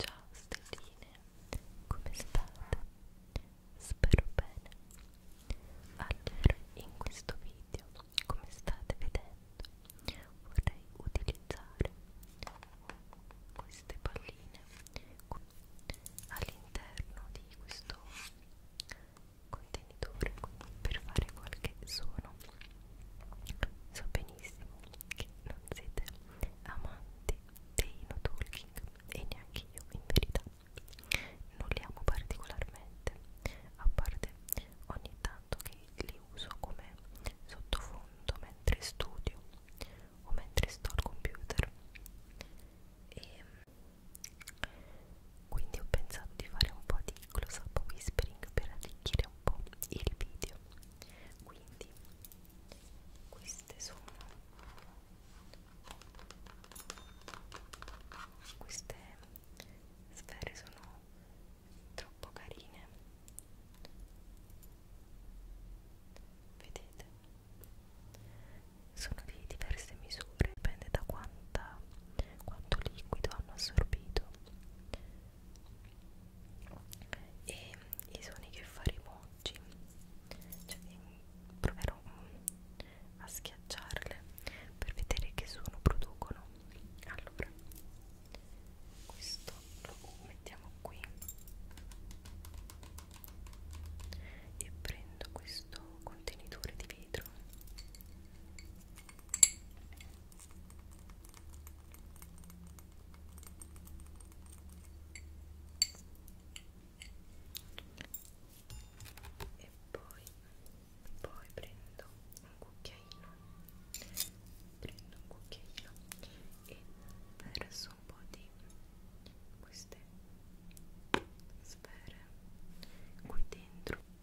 Ciao stelline, come state? Spero bene. Allora, in questo video, come state vedendo, vorrei utilizzare queste palline all'interno di questo contenitore per fare qualche suono So benissimo che non siete amanti dei no talking e neanche io in verità. Non li amo particolarmente, a parte ogni tanto che li uso come sottofondo mentre studio o mentre sto al computer. E quindi ho pensato di fare un po' di di close up whispering per arricchire un po' il video quindi queste sono queste sfere sono troppo carine vedete sono di diverse misure dipende da quanta quanto liquido hanno assorbito e i suoni che faremo oggi cioè, proverò mm, a schiacciarle per vedere che suono producono allora questo lo mettiamo qui e prendo questo contenitore di vetro e poi, poi prendo un cucchiaino prendo un cucchiaino e verso un po' di queste sfere qui dentro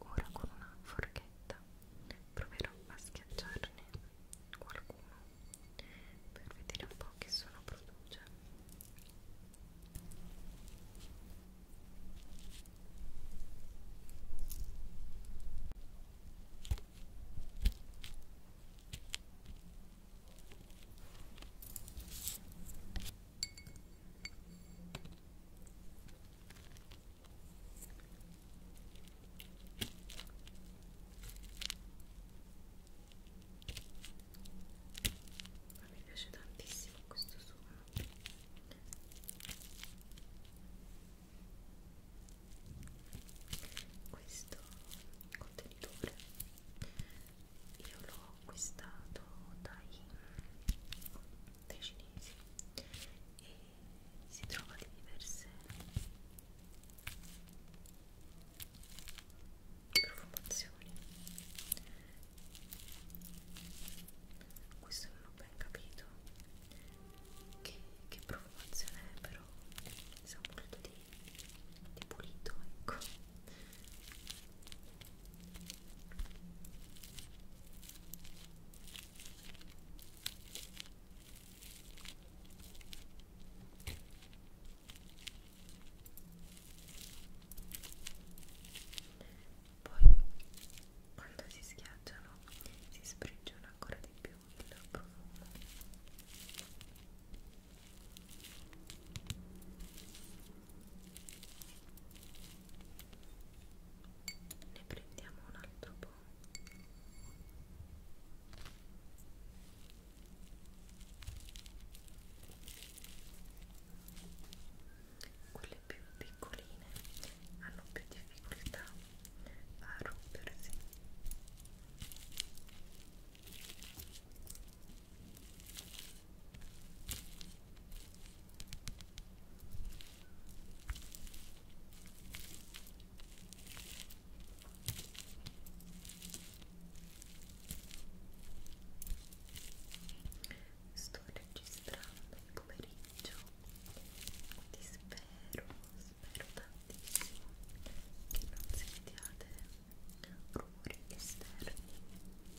Ora con una forchetta proverò a schiacciarne qualcuno per vedere un po' che suono produce. Ma mi piace tantissimo questo suono questo contenitore io l'ho acquistato dai dai cinesi e si trova di diverse profumazioni questo non ho ben capito che, che profumazione è però sa molto di, di pulito ecco poi quando si schiacciano si sprigiona ancora di più il profumo ne prendiamo un altro po' quelle più piccoline hanno più difficoltà a rompersi Sto registrando il pomeriggio, ti spero, spero tantissimo che non sentiate rumori esterni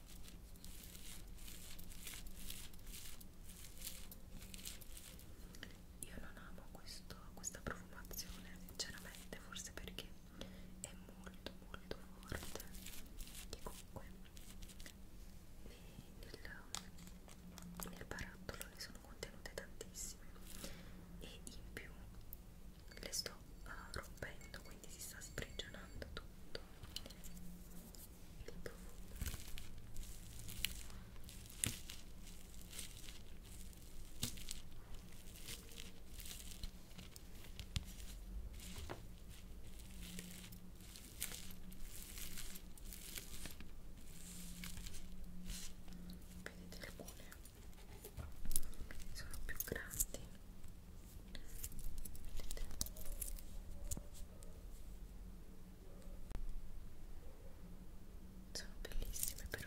Io non amo questo, questa profumazione sinceramente, forse perché è molto molto forte e comunque nel, nel barattolo ne sono contenute tantissime e in più le sto uh, rompendo quindi si sta sprigionando tutto il vedete le buone sono più grandi vedete sono bellissime però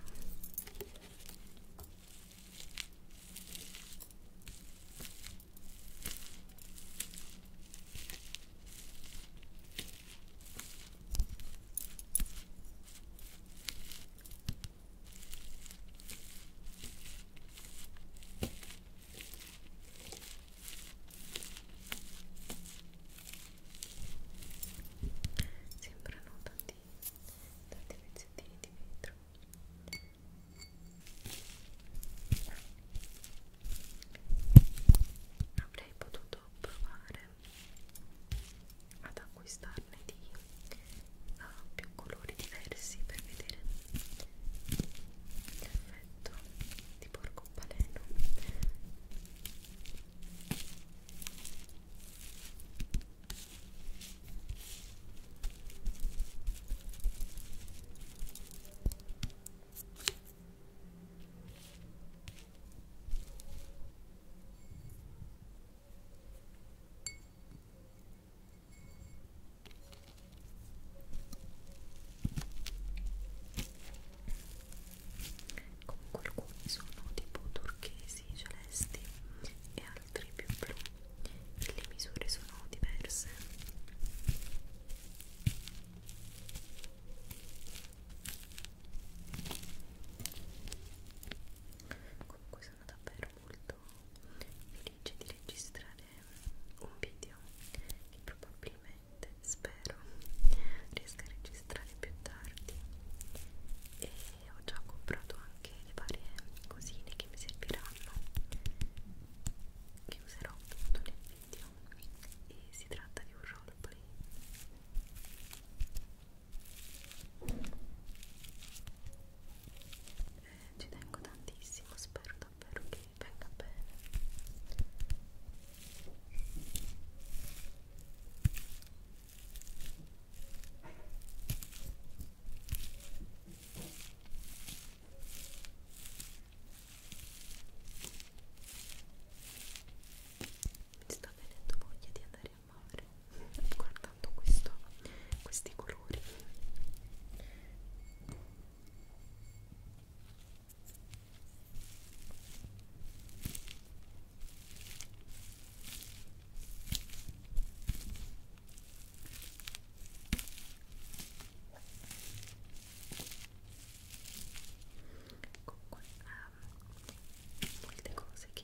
sembrano tanti tanti pezzettini di vetro avrei potuto provare ad acquistarne di uh, più colori diversi per vedere l'effetto letto di porcopaleno Ecco comunque alcuni sono tipo turchesi celesti e altri più blu e le misure sono diverse comunque sono davvero molto felice di registrare un video che probabilmente spero riesca a registrare più tardi e ho già comprato anche le varie cosine che mi serviranno che userò appunto nel video e si tratta di un roleplay eh, ci tengo tantissimo, spero davvero che venga bene mi sta venendo voglia di andare a mare guardando questo, questi colori comunque um, molte cose che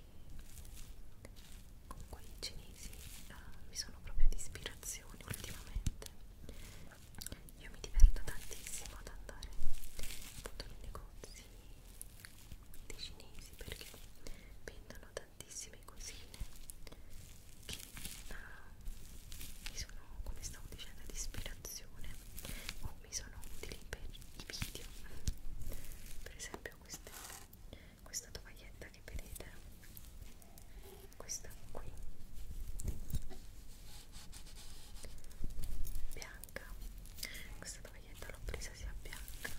comunque i cinesi uh, mi sono proprio di ispirazione ultimamente io mi diverto tantissimo ad andare appunto nei negozi dei cinesi perché vendono tantissime cosine che uh, mi sono, come stavo dicendo, di ispirazione o mi sono utili per i video per esempio queste, questa tovaglietta che vedete questa qui bianca questa tovaglietta l'ho presa sia bianca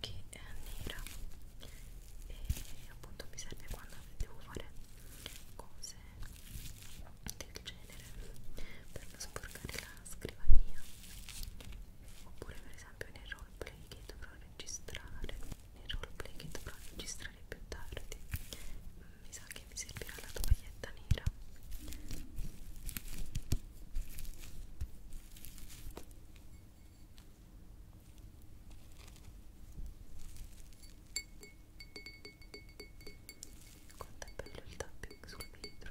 che eh, nera e appunto mi serve quando devo fare cose del genere per non sporcare la scrivania oppure per esempio nel roleplay che dovrò registrare nel roleplay che dovrò registrare più tardi mi sa che mi servirà la tovaglietta nera quanto è bello il tapping sul vetro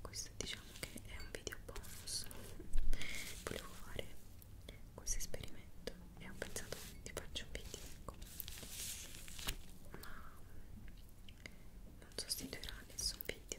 questo diciamo che è un video bonus volevo fare questo esperimento e ho pensato ti faccio un video ecco. ma non sostituirà nessun video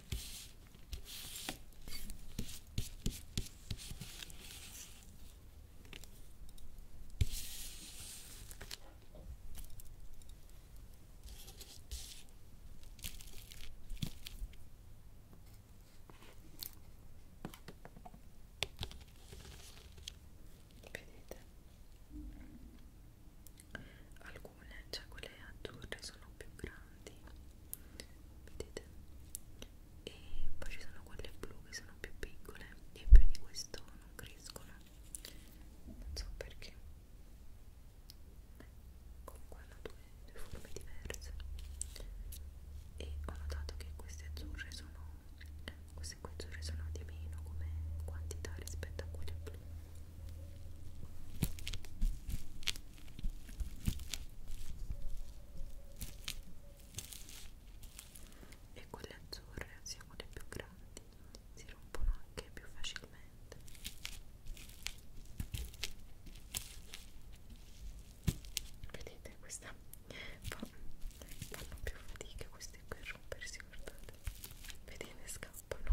Vedete? Alcune, cioè quelle azzurre sono più grandi vedete e poi ci sono quelle blu che sono più piccole e più di questo non crescono non so perché comunque hanno due, due forme diverse e ho notato che queste azzurre sono queste qui azzurre sono di meno come quantità rispetto a quelle blu e quelle azzurre siamo le più grandi si rompono anche più facilmente vedete questa fa, fanno più fatica queste qui a rompersi guardate vedete scappano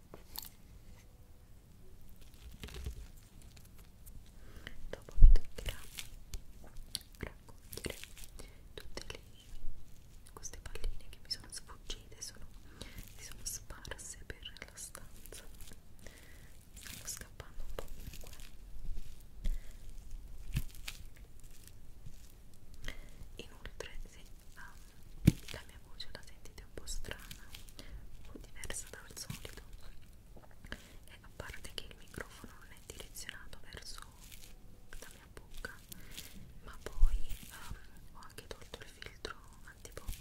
Dopo mi toccherà raccogliere tutte le, queste palline che mi sono sfuggite, sono, si sono sparse per la stanza. Stanno scappando un po' ovunque. Inoltre, se um, la mia voce la sentite un po' strana o diversa dal solito e a parte che il microfono non è direzionato verso la mia bocca ma poi um, ho anche tolto il filtro antipop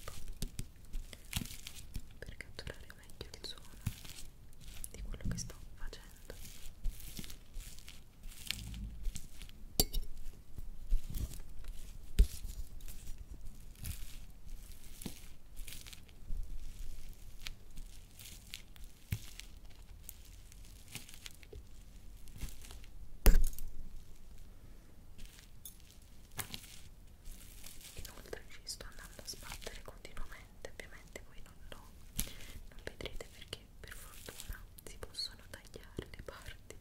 per catturare meglio il suono di quello che sto facendo Inoltre ci sto andando a sbattere continuamente, ovviamente voi non lo non vedrete perché per fortuna si possono tagliare le parti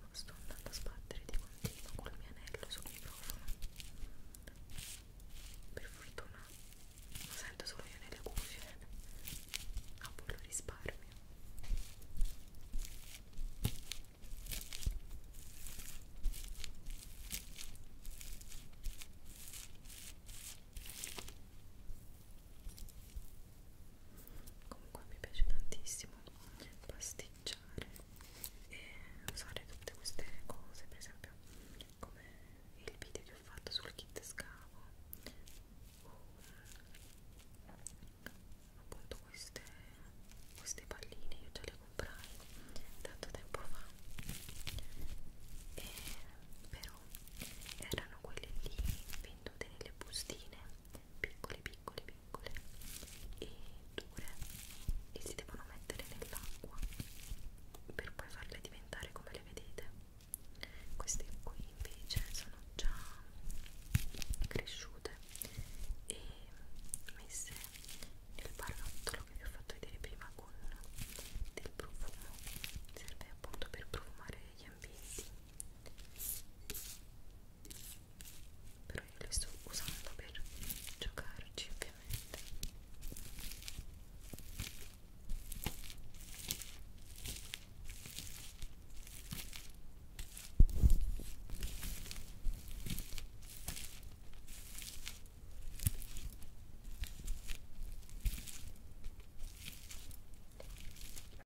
ma sto andando a sbattere di continuo col mio anello sul microfono per fortuna lo sento solo io nelle cuffie a voi lo risparmio Ecco comunque mi piace tantissimo pasticciare e usare tutte queste cose per esempio come il video che ho fatto sul kit scavo o appunto queste, queste palline io già le comprai tanto tempo fa e però erano quelle lì vendute nelle bustine piccole piccole piccole e dure e si devono mettere nell'acqua per poi farle diventare come le vedete queste qui invece sono già cresciute e messe nel barrottolo che vi ho fatto vedere prima con del profumo serve appunto per profumare gli ambienti però io li sto usando per giocarci ovviamente